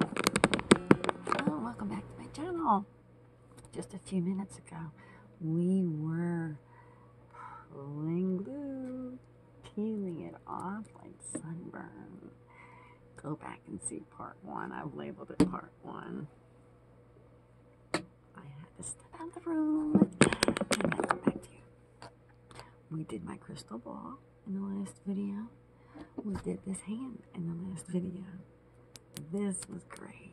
Oh, welcome back to my channel. Just a few minutes ago, we were pulling glue, peeling it off like sunburn. Go back and see part one. I've labeled it part one. I had to step out of the room and I come back to you. We did my crystal ball in the last video we did this hand in the last video this was great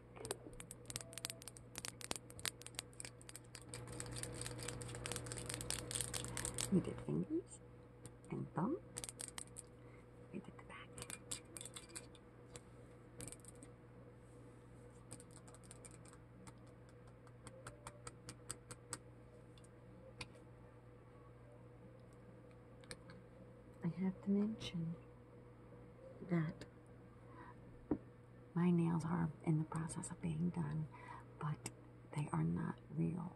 we did fingers and thumb we did the back I have to mention that my nails are in the process of being done, but they are not real.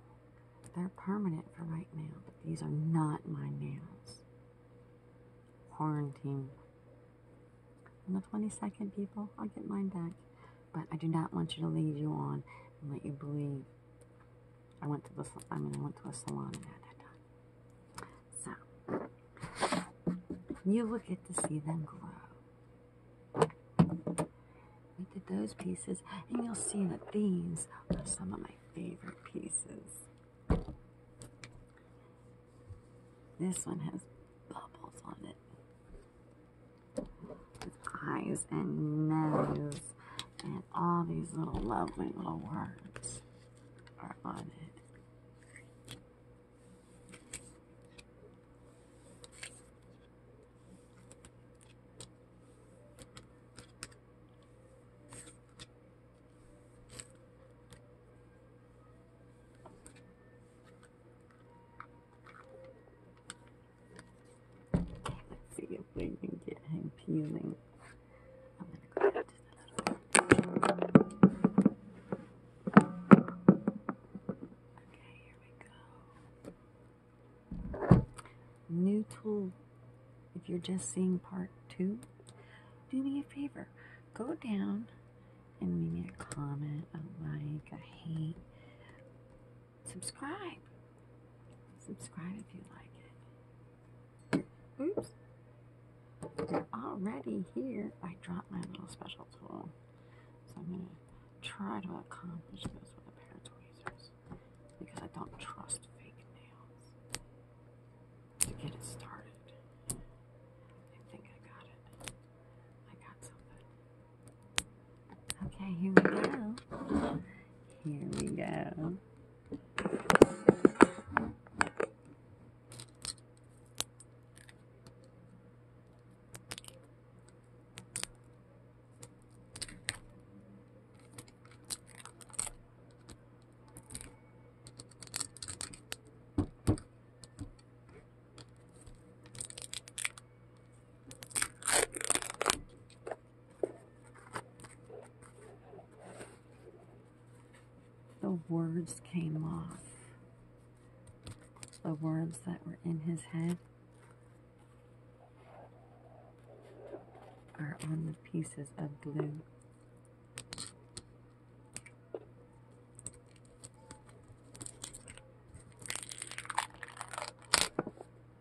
They're permanent for right now, but these are not my nails. Quarantine. On the 22nd, people, I'll get mine back. But I do not want you to lead you on and let you believe I went to the I mean I went to a salon and had that done. So you will get to see them grow. We did those pieces, and you'll see that these are some of my favorite pieces. This one has bubbles on it his eyes and nose and all these little lovely little words are on it. Let's see if we can get him peeling. Okay, here we go. New tool. If you're just seeing part two, do me a favor. Go down and leave me a comment, like, a subscribe. Subscribe if you like it. Oops. Already here, I dropped my little special tool. So I'm going to try to accomplish this with a pair of tweezers. Because I don't trust fake nails. To get it started. I think I got it. I got something. Okay, here we go. Here we go. The words came off. The words that were in his head are on the pieces of glue.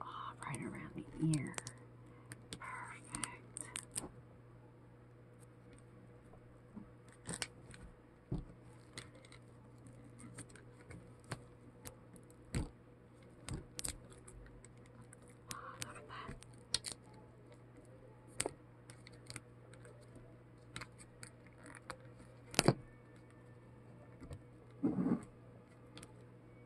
Oh, right around the ear. Perfect. Oh, look at that.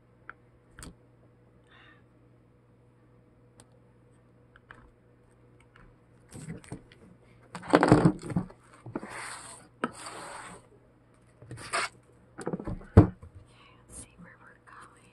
Okay, let's see where we're going.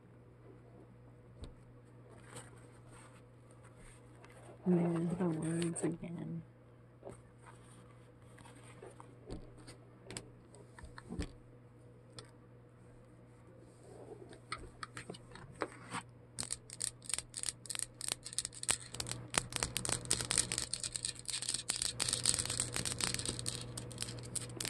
There's the words again.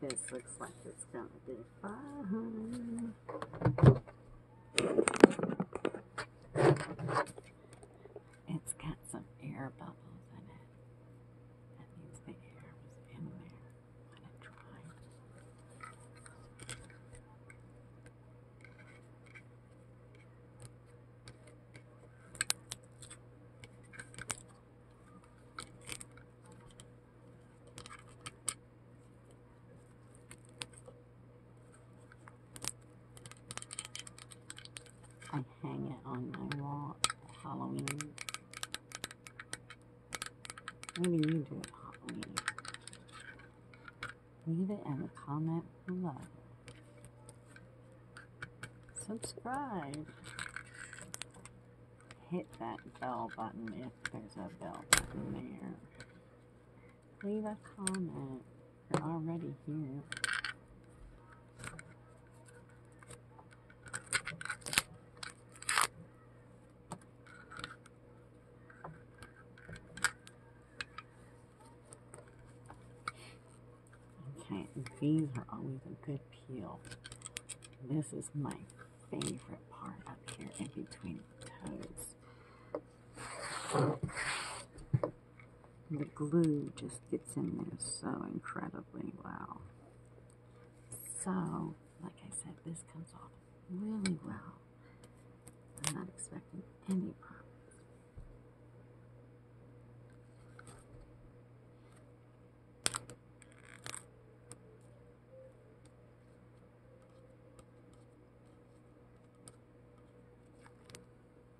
This looks like it's gonna be fun. It's got some air bubbles in it. That means the air was in there when it dried. I hang it on my wall for Halloween. Maybe you do it Halloween. Leave it in the comment below. Subscribe. Hit that bell button if there's a bell button there. Leave a comment. You're already here. Okay, these are always a good peel. This is my favorite part up here in between the toes the glue just gets in there so incredibly well. So, like I said, this comes off really well. I'm not expecting any problems.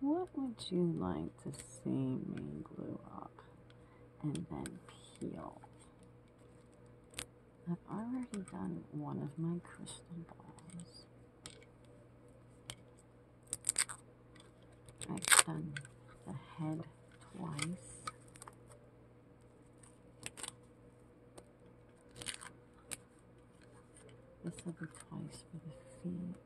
What would you like to see me glue up and then peel? I've already done one of my crystal balls. I've done the head twice. This will be twice for the feet.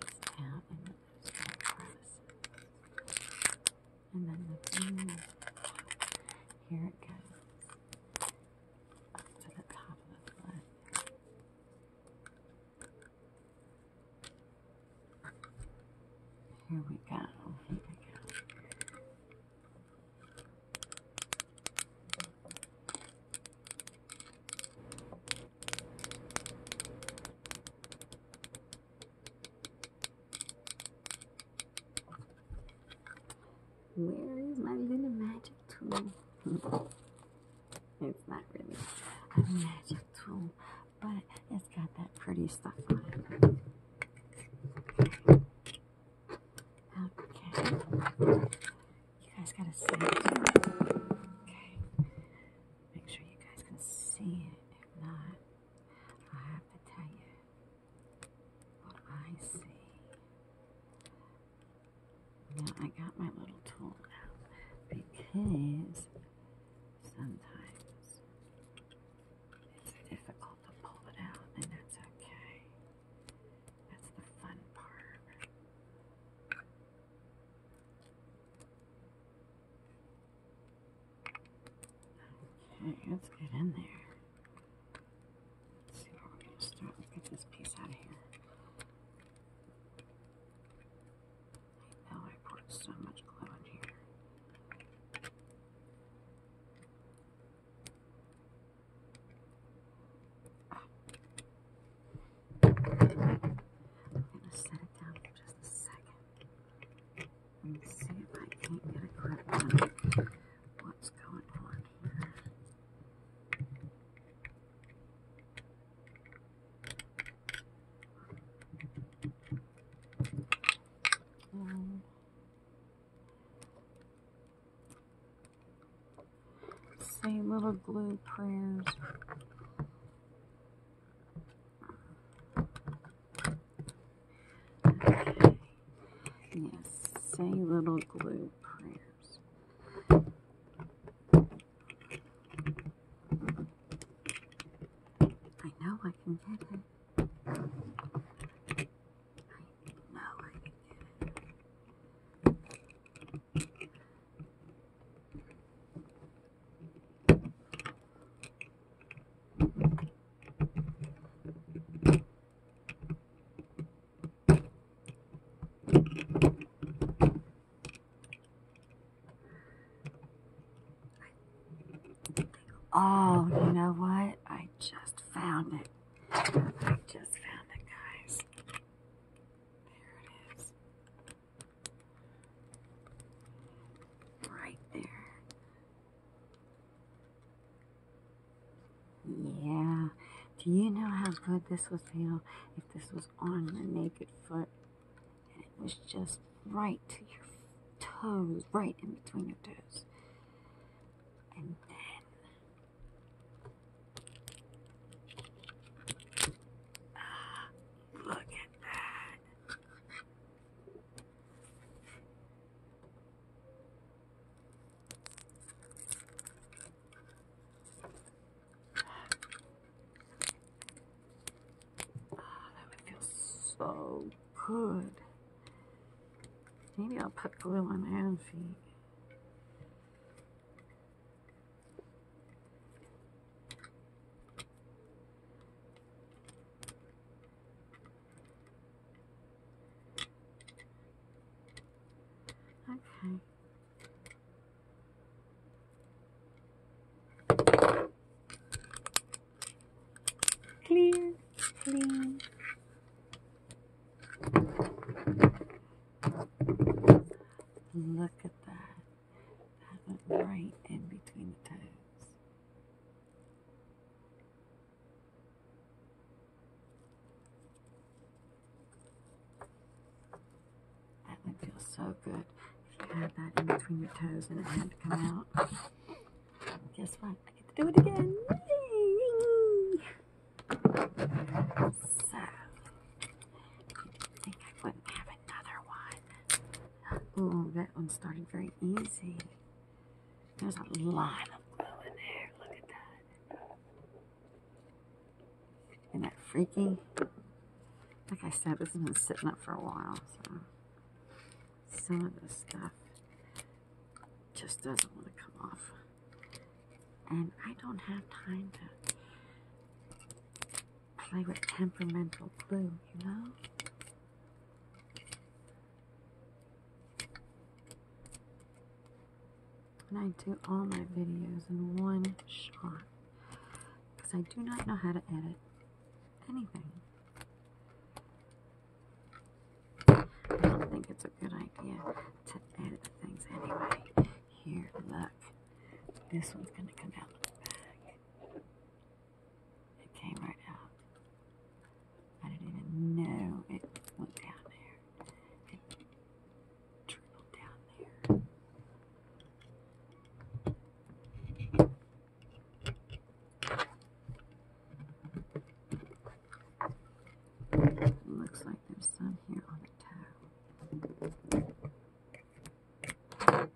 It's down and then there's and then the blue. Here it goes to the top of the foot. Here we go. Here we go. Where is my little magic tool? it's not really a magic tool, but it's got that pretty stuff on it. Okay. You guys gotta see it. Okay. Make sure you guys can see it. If not, I have to tell you what I see. Now I got my little tool out because sometimes it's difficult to pull it out, and that's okay. That's the fun part. Okay, let's get in there. see where we get this piece out of here. I I poured so much glue in here. I'm going to set it down for just a second and see if I can get a grip on what's going on here. little glue prayers. Yes, say little glue prayers. I know I can get it. Thank you. Oh, you know what? I just found it. I just found it, guys. There it is. Right there. Yeah. Do you know how good this would feel if this was on your naked foot and it was just right to your toes, right in between your toes? And then. Ah, look at that. Ah, that would feel so good. Maybe I'll put glue on my own feet. Okay. Clear, clean. Look at that. That went right in between the toes. That would feel so good if you had that in between your toes and it had to come out. Guess what? I get to do it again. So, you think I wouldn't have another one. Ooh, that one started very easy. There's a lot of glue in there. Look at that. Isn't that freaky? Like I said, this has been sitting up for a while, so some of this stuff just doesn't want to come off. And I don't have time to play with temperamental blue, you know? And I do all my videos in one shot because I do not know how to edit anything. I don't think it's a good idea to edit things anyway. Here, look. This one's going to come out it came right out. I didn't even know it went down there. It trickled down there. Looks like there's some here on the toe.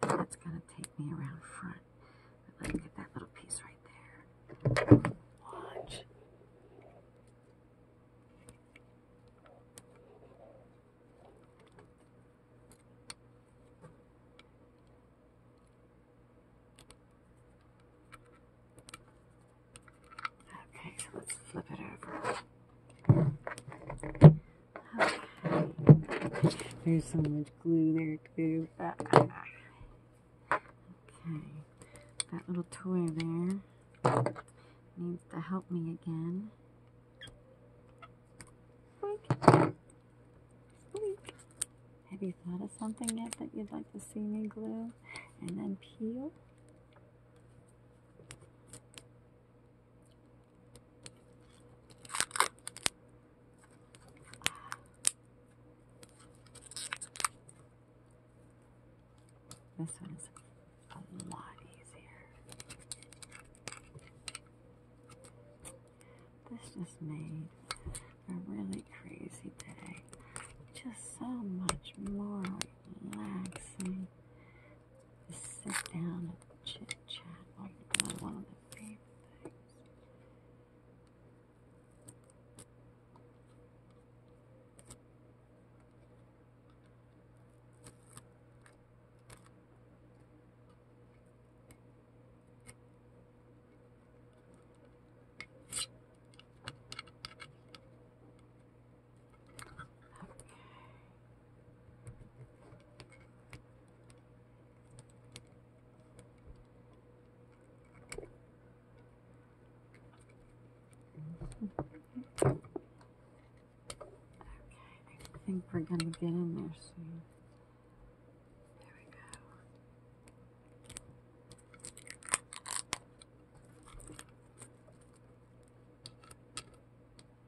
That's going to take me around front. let me get that little piece right there. Watch. Okay, so let's flip it over. There's so much glue there too. Ah, ah, ah. okay. That little toy there needs to help me again. Boink. Boink. Have you thought of something yet that you'd like to see me glue and then peel? This one's a lot easier. This just made a really crazy day just so much more relaxing sit down and chit chat while you're one of the favorite things. Okay. Okay, I think we're going to get in there soon. There we go.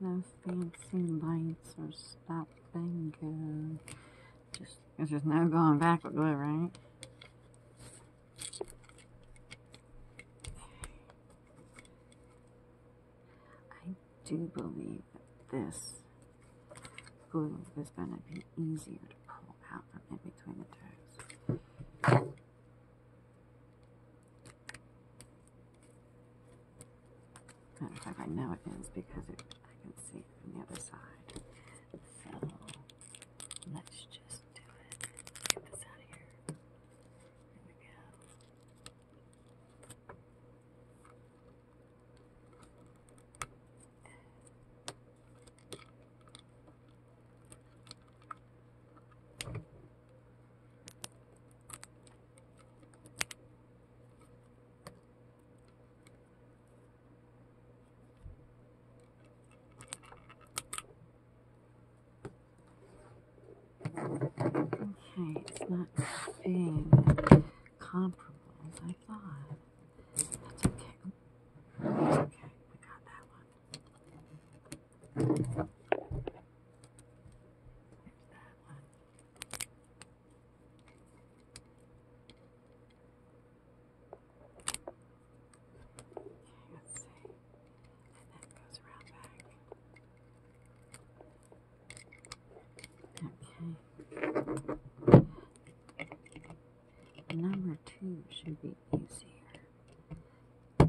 No fancy lights or stop and Just, there's just no going back with glue, right? I do believe that this glue is going to be easier to pull out from in between the toes. I know it is because I can see it from the other side. So let's just do it. Get this out of here. There we go. Okay, it's not being comparable as I thought. That's okay. okay, we got that one. That one let And that goes around back. Okay. Number two should be easier. okay.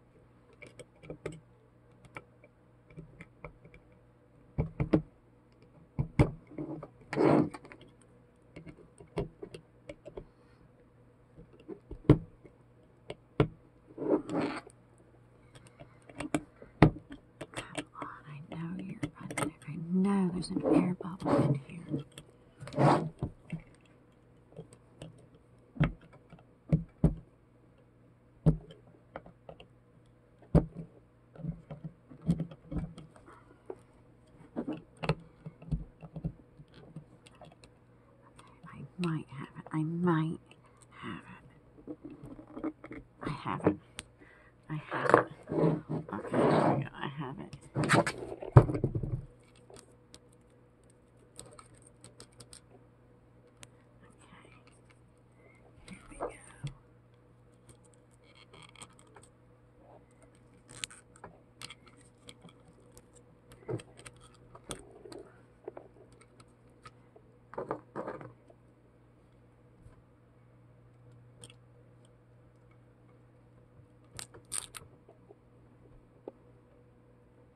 I know you're under. I know there's an air bubble in here. I might have it. I might have it. I have it. I have it. Okay, I have it. Okay. Here we go. Okay.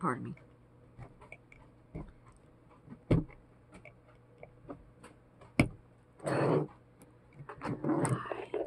Pardon me. I got it, I got it. Oh, please. Oh, please.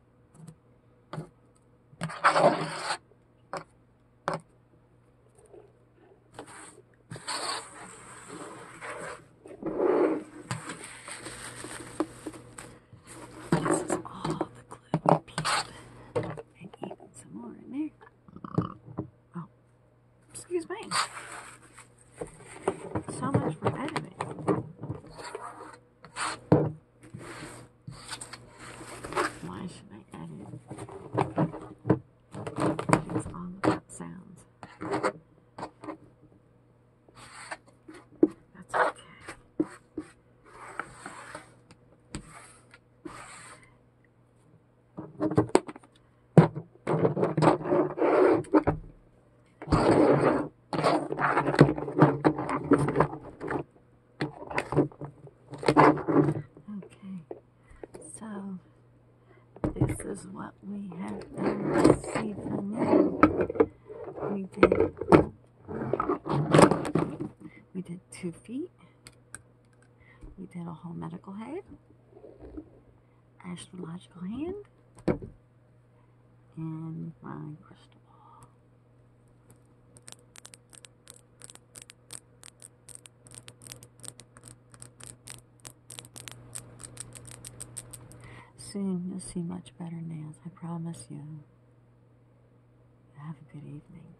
This is all the glue peep. And even some more in there. Oh, excuse me. So much for editing. Why should I edit? It's all sounds. That's okay. Okay, so this is what we have done this evening. We did, we did two feet. We did a whole medical head, astrological hand, and my crystal ball. Soon you'll see much better nails, I promise you. Have a good evening.